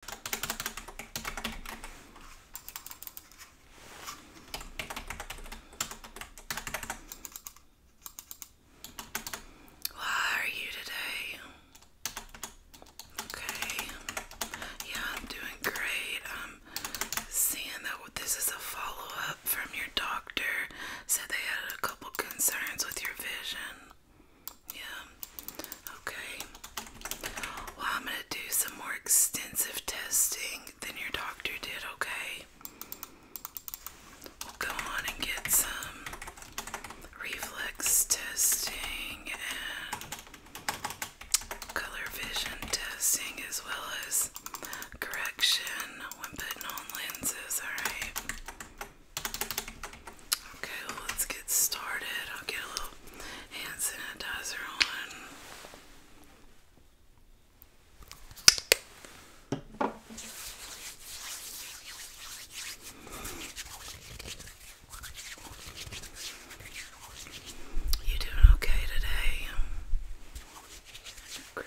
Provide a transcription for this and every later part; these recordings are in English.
Why are you today? Okay. Yeah, I'm doing great. i um, seeing that this is a follow up from your doctor. Said they had a couple concerns with your vision. Yeah. Okay. Well, I'm going to do some more extensive testing than your doctor did, okay? We'll go on and get some reflex testing and color vision testing as well as correction when putting on lenses, alright? Okay, let's get started. I'll get a little hand sanitizer on. You doing okay today? Great.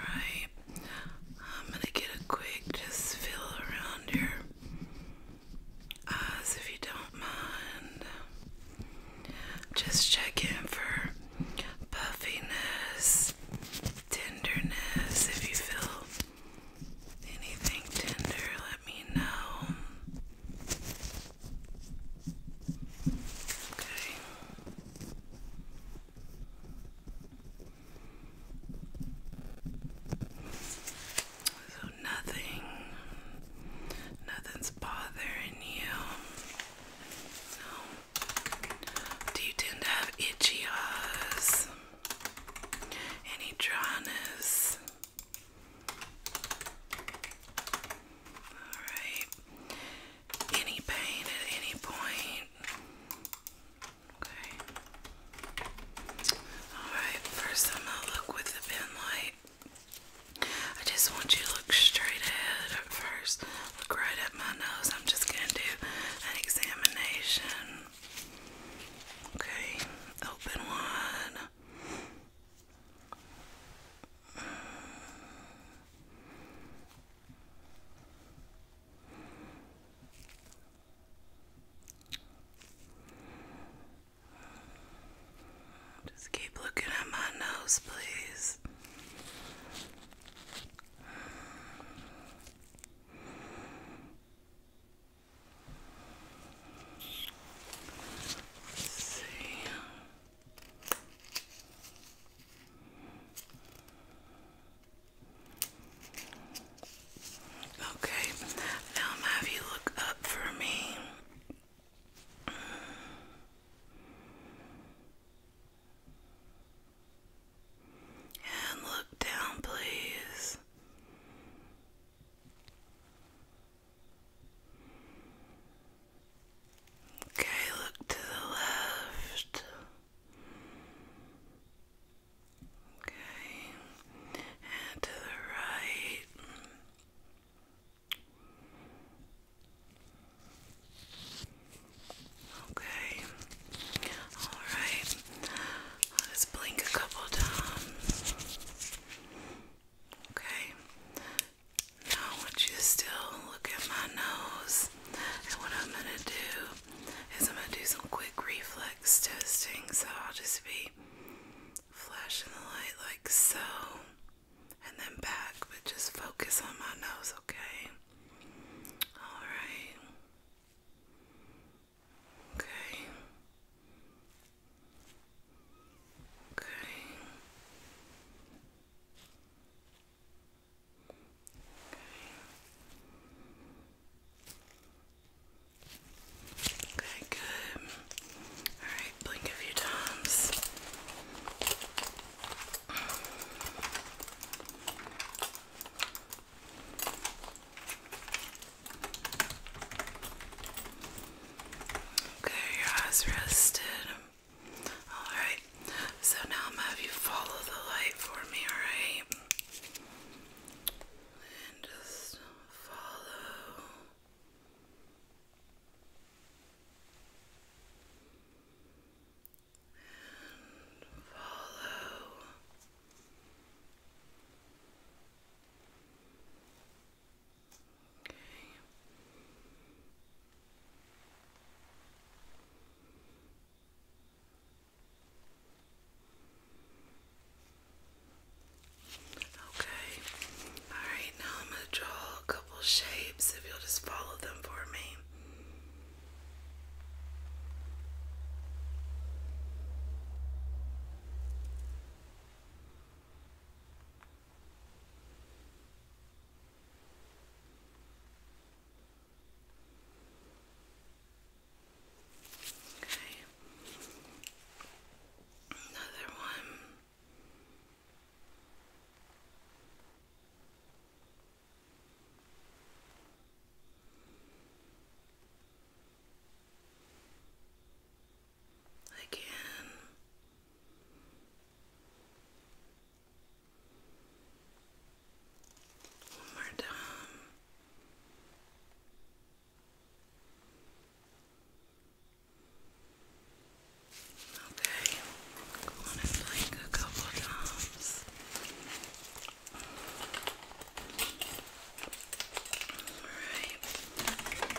Alright, I'm gonna get a quick just feel around your eyes if you don't mind. Just check in for puffiness, tenderness. If you feel anything tender, let me know. So nothing, nothing's bothering you. No. Do you tend to have itchy eyes? Any dryness? All right any pain at any point. Okay. Alright, first I'm gonna look with the pen I just want you to look straight ahead at first. Look right at my nose. I'm just gonna do an examination. Okay, open one. Just keep looking at my nose, please. see. Okay, now I'm have you look up for me. And look down, please. Okay, look to the left. Okay, and to the right. Okay, all right. I'll blink a couple times. Okay, now I want you to still look at my nose. And what I'm gonna do is I'm gonna do some quick reflex testing. So I'll just be flashing the light like so. And then back, but just focus on my nose, okay? Alright. Okay. Okay. Okay, good. Alright, blink a few times. Okay, your eyes rested. Alright, so now I'm gonna have you follow the light for me, alright? And just follow. And follow. Okay. Okay. All right, now I'm going to draw a couple shapes if you'll just follow them for me. Okay. Another one. Again. One more time. Okay, go on and blink a couple times. Alright.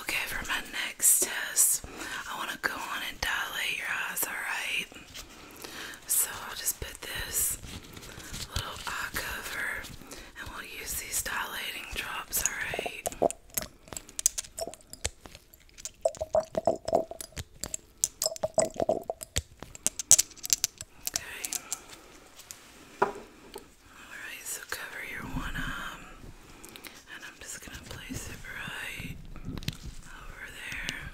Okay, for my next test, I want to go on and dilate your eyes, alright? So I'll just put this little eye cover and we'll use these dilating drops, alright? Okay. Alright, so cover your one arm, and I'm just gonna place it right over there.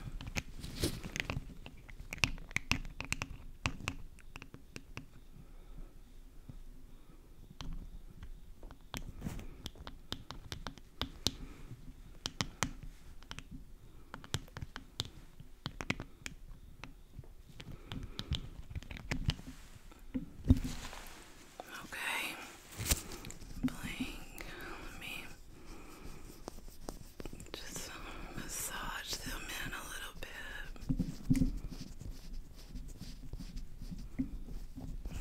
Okay. Blink. Let me just uh, massage them in a little bit.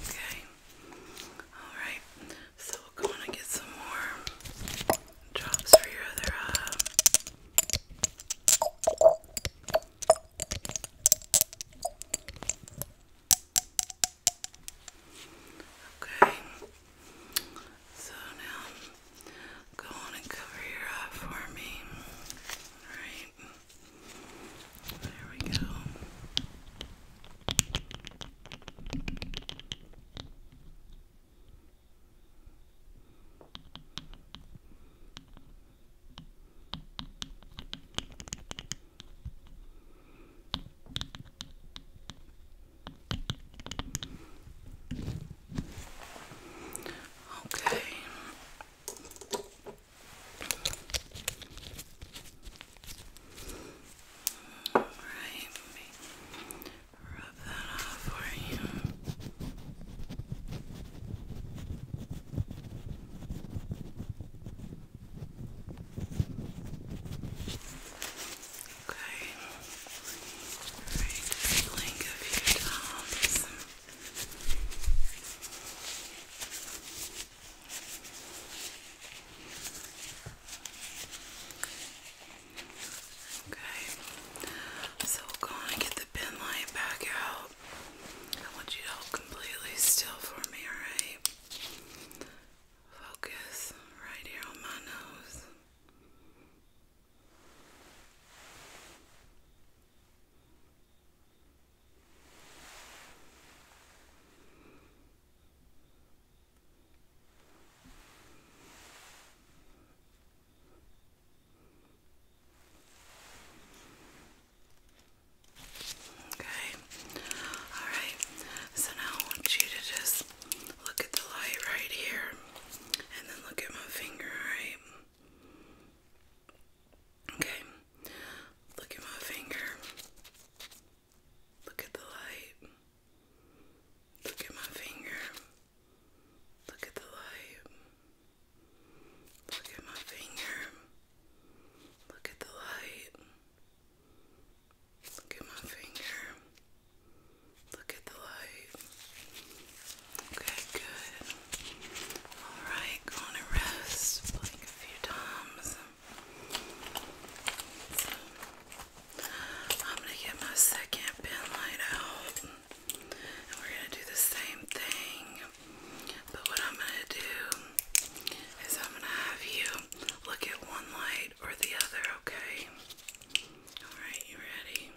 Okay. All right. So we're going to get some more drops for your other uh, Okay, so now go on and cover your eye for me. Alright, there we go. Okay. All right, rub that off for you. Okay. Alright, feeling a few times. Okay. So we'll get the pin light back out. I want you to hold completely still for me, alright? Focus right here on my nose. Okay. All right. So now I want you to just look at the light right here and then look at my finger, all right? Okay. Look at my finger. Look at the light. Look at my finger. Look at the light. Look at my finger. Look at the light. Look at my finger. Look at the light. Okay, good. Alright, go to rest. Blink a few times. I'm gonna get my second pen light out. And we're gonna do the same thing. But what I'm gonna do is I'm gonna have you look at one light or the other, okay? Alright, you ready?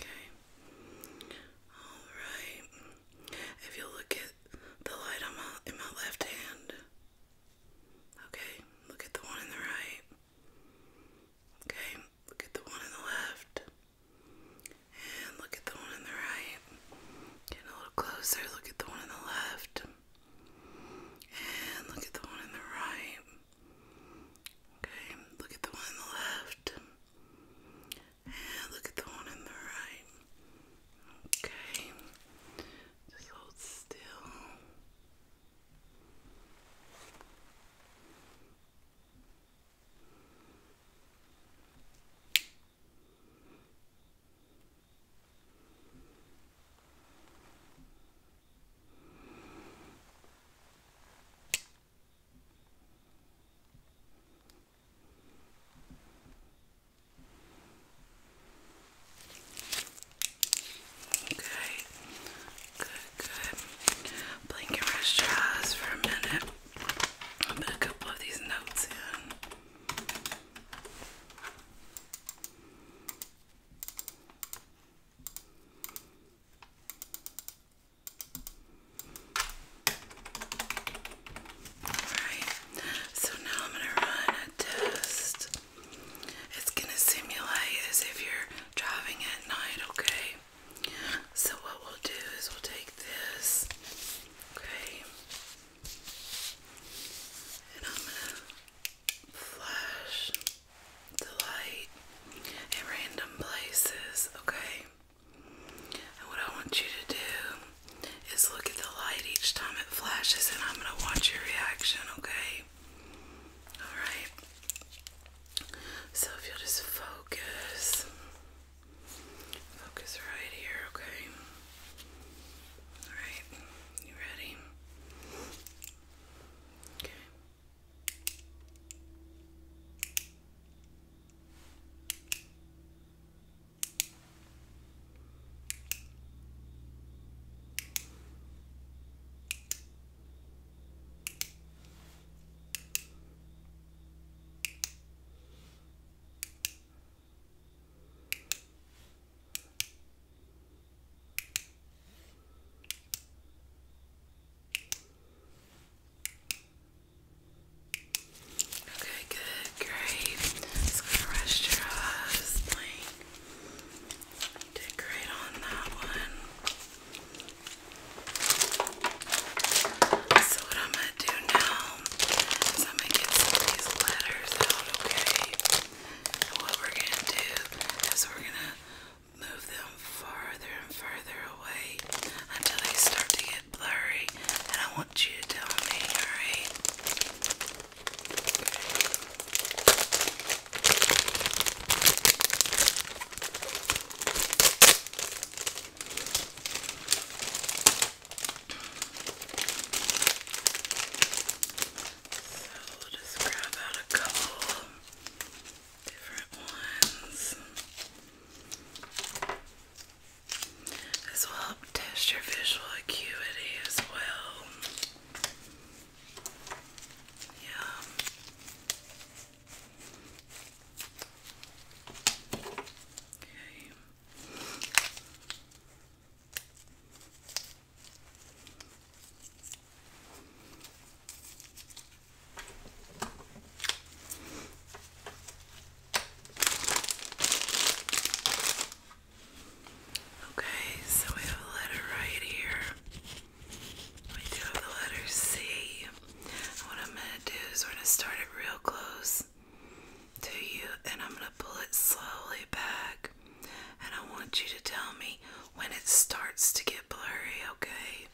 Okay. Alright. If you look at the light on my, in my left hand, okay, look at the one in the right. Okay, look at the one on the left. And look at the one on the right. Get a little closer. Look at the one on the left. And look at the one on the right. Okay, look at the one on the left. And look at the one on the right. Okay. Just hold still. Okay, good, good. Blink and rest your eyes for a minute. I'll put a couple of these notes in. Alright, so now I'm going to run a test. It's going to simulate as if you're driving at night, okay? So, what we'll do is we'll take this, okay, and I'm gonna flash the light at random places, okay. And what I want you to do is look at the light each time it flashes, and I'm gonna watch your reaction, okay? Alright. So if you'll just focus. Focus right here, okay? Alright, you ready? Okay, good, great. It's gonna rest your eyes. Like, did great on that one. So what I'm gonna do now is I'm gonna get some of these letters out, okay? what we're gonna do is we're gonna move them farther and farther away until they start to get blurry. And I want you to tell me, alright? So we'll just grab out a couple different ones. This will test your visual acuity as well. Yeah. Okay. Okay, so we have a letter right here. We do have the letter C. What I'm gonna do is we're gonna start it real close to you and I'm gonna pull it slowly back. And I want you to tell me when it starts to get blurry, okay?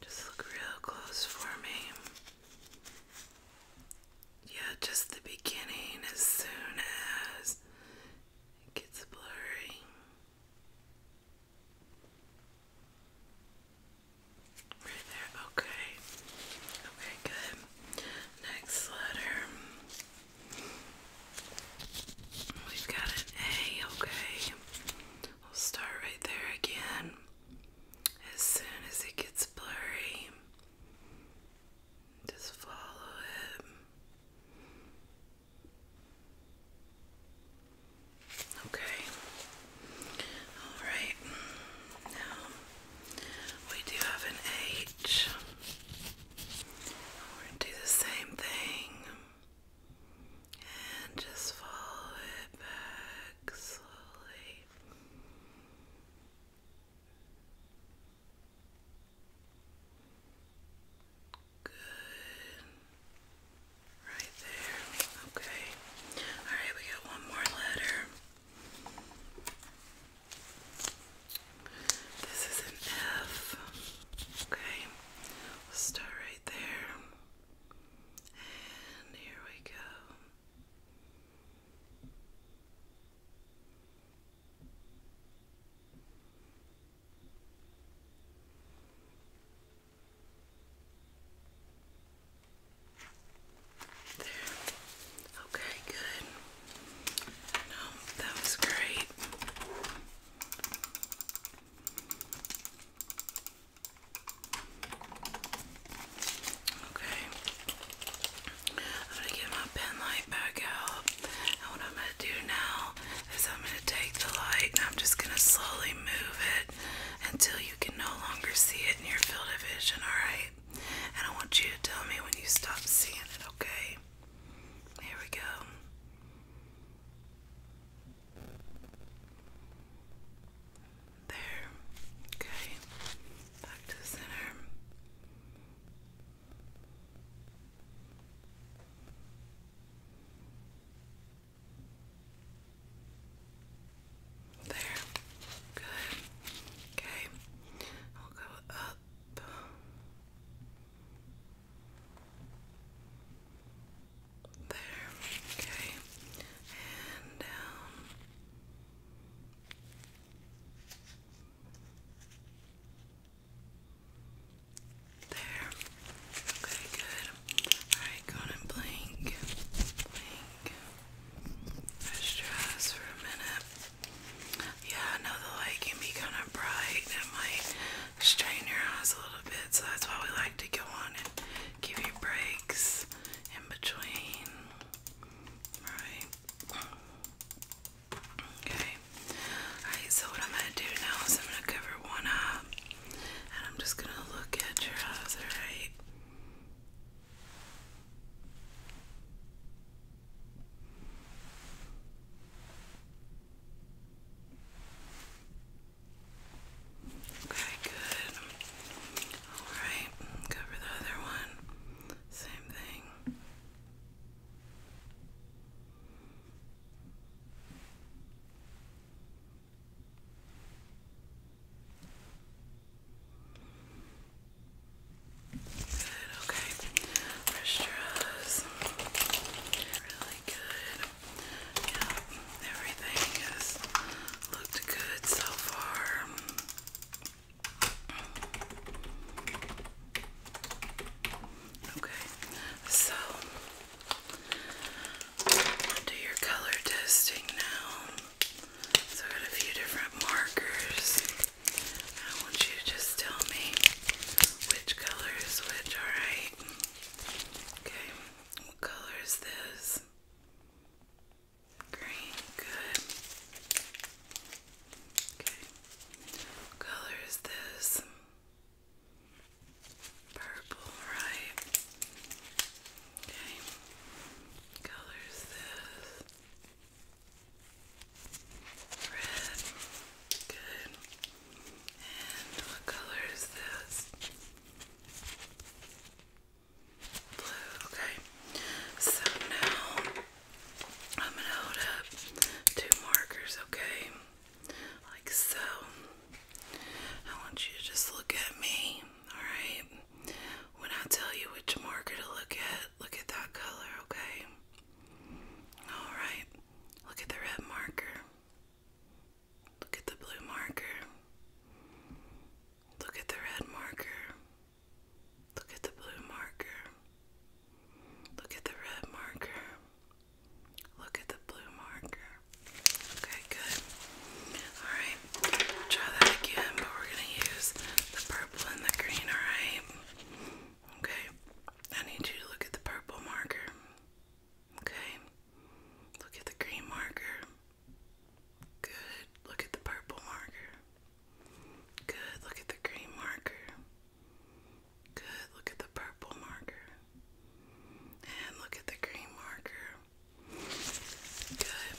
Just look real close for me. Yeah, just the beginning as soon as it gets blurry. Right there, okay. Okay, good. Next letter. We've got an A, okay. We'll start right there again. As soon as it gets blurry, just follow it. Okay. All right. Now we do have an H. We're gonna do the same thing and just follow it back slowly. Good. Right there. Okay. Alright, we got one more letter. This is an F. Okay. We'll start right there. And here we go. There. Okay, good. No, that was great. Okay. I'm gonna get my pen light back out. And what I'm gonna do now is I'm gonna take the light and I'm just gonna slowly move it until you can no longer see it in your field of vision, alright? And I want you to tell me when you stop seeing it, okay? Here we go. There. Okay. Back to the center. There. Good. Okay. I'll go up. There. Okay. And down. There. Okay, good. Alright, go on and blink. Blink. Just stress for a minute. Yeah, I know the light can be kind of bright. It might strain your eyes a little bit, so that's why we like to go on and give you breaks in between. Alright. Okay. Alright, so what I'm gonna do now is I'm gonna cover one eye. And I'm just gonna look at your eyes, alright? Okay, good. Alright, cover the other one. Same thing. Good, okay. Rest Really good. Yeah, everything has looked good so far. Okay, so i do your color testing now. So i got a few different markers. I want you to just tell me which color is which, alright? Okay, what color is this? Green, good. Okay, what color is this? Purple, right? Okay. Colors this. Red. Good. And what color is this? Blue, okay. So now I'm gonna hold up two markers, okay? like so. I want you to just look at me, alright? When I tell you which marker to look at, look at that color, okay? Alright, look at the red marker. Look at the blue marker. Look at the red marker. Look at the blue marker. Look at the red marker. Look at the blue marker. Okay, good. Alright, try that again, but we're going to use the purple and the green, alright? Okay, I need you to look at the purple marker. Okay, look at the green marker. Good, look at the purple marker. Good, look at the green marker. Good, look at the purple marker. And look at the green marker. Good.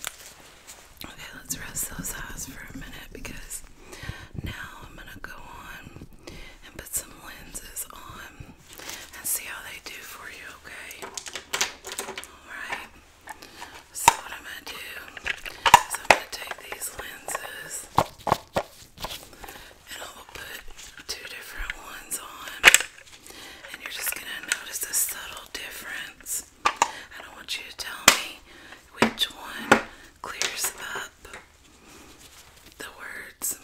Okay, let's rest those eyes for a minute because now I'm gonna go on and put some lenses on and see how they do for you, okay? Alright. So what am going do is I'm gonna take these lenses and I will put two different ones on, and you're just gonna notice a subtle difference. I don't want you to tell me which one clears up the words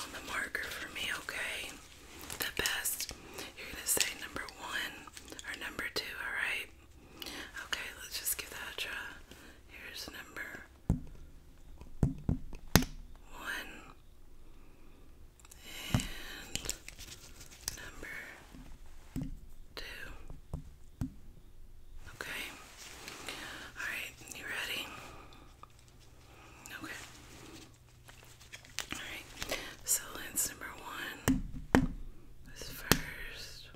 on the marker for me, okay? The best. You're gonna say number one or number two, alright? Okay, let's just give that a try. Here's number one and number two. Okay. All right, you ready? Okay. All right. So lens number one is first.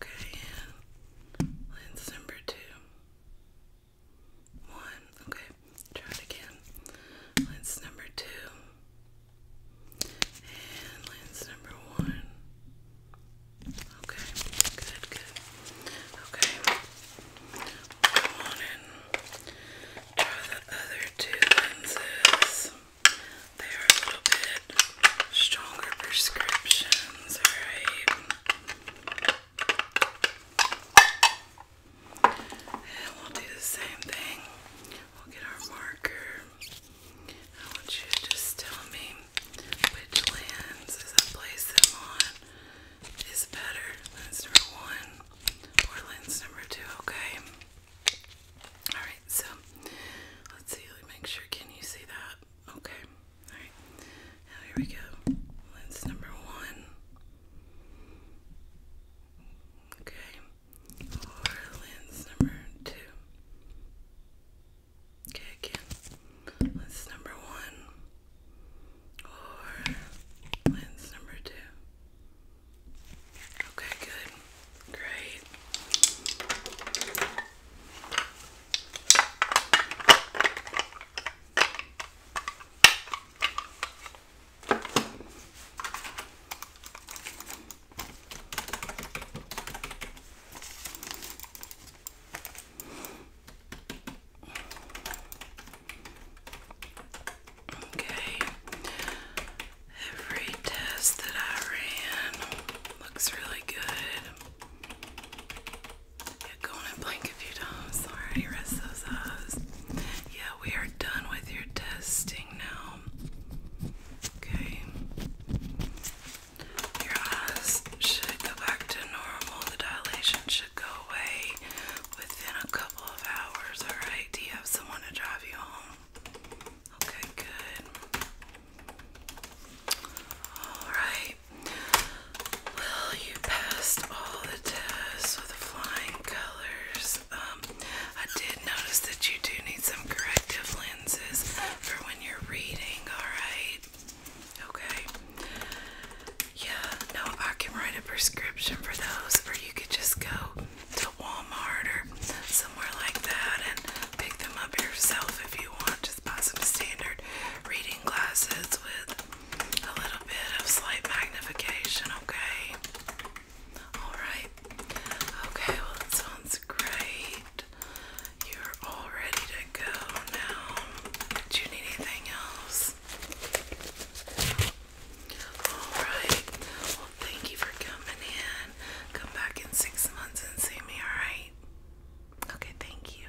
Okay, lens number two. One. Okay, try it again. Lens number two. And lens number one. Okay, good, good. Okay, go on and try the other two lenses. They are a little bit stronger prescriptions, alright? And we'll do the same thing. We'll get our marker. I want you to just tell me which lens as I place them on is better. Lens number one or lens number two, okay? Alright, so let's see, let me make sure. Can you see that? Okay. Alright, here we go. Lens number one. Okay, or lens number two. Okay, again, lens number one. Or lens number two. Okay, good. Great. Okay, every test that I ran looks really good go on and blink if you don't. rest those eyes. Yeah, we are done with your testing now. Okay. Your eyes should go back to normal. The dilation should go away within a couple of hours. Alright, do you have someone to drive you home? Okay, good. Alright. Well, you passed all the tests with flying colors. Um, I did notice that you do need some corrective lenses for when you're reading, alright? Okay. Yeah, no, I can write a prescription for those, or you could just go to Walmart or somewhere like that and pick them up yourself if you want. Just buy some standard reading glasses with a little bit of slight magnification, okay? Alright. Okay, well, that sounds great. You're all ready to go now. Do you need anything else? Alright. Well, thank you for coming in. Come back in six months and see me, alright? Okay, thank you.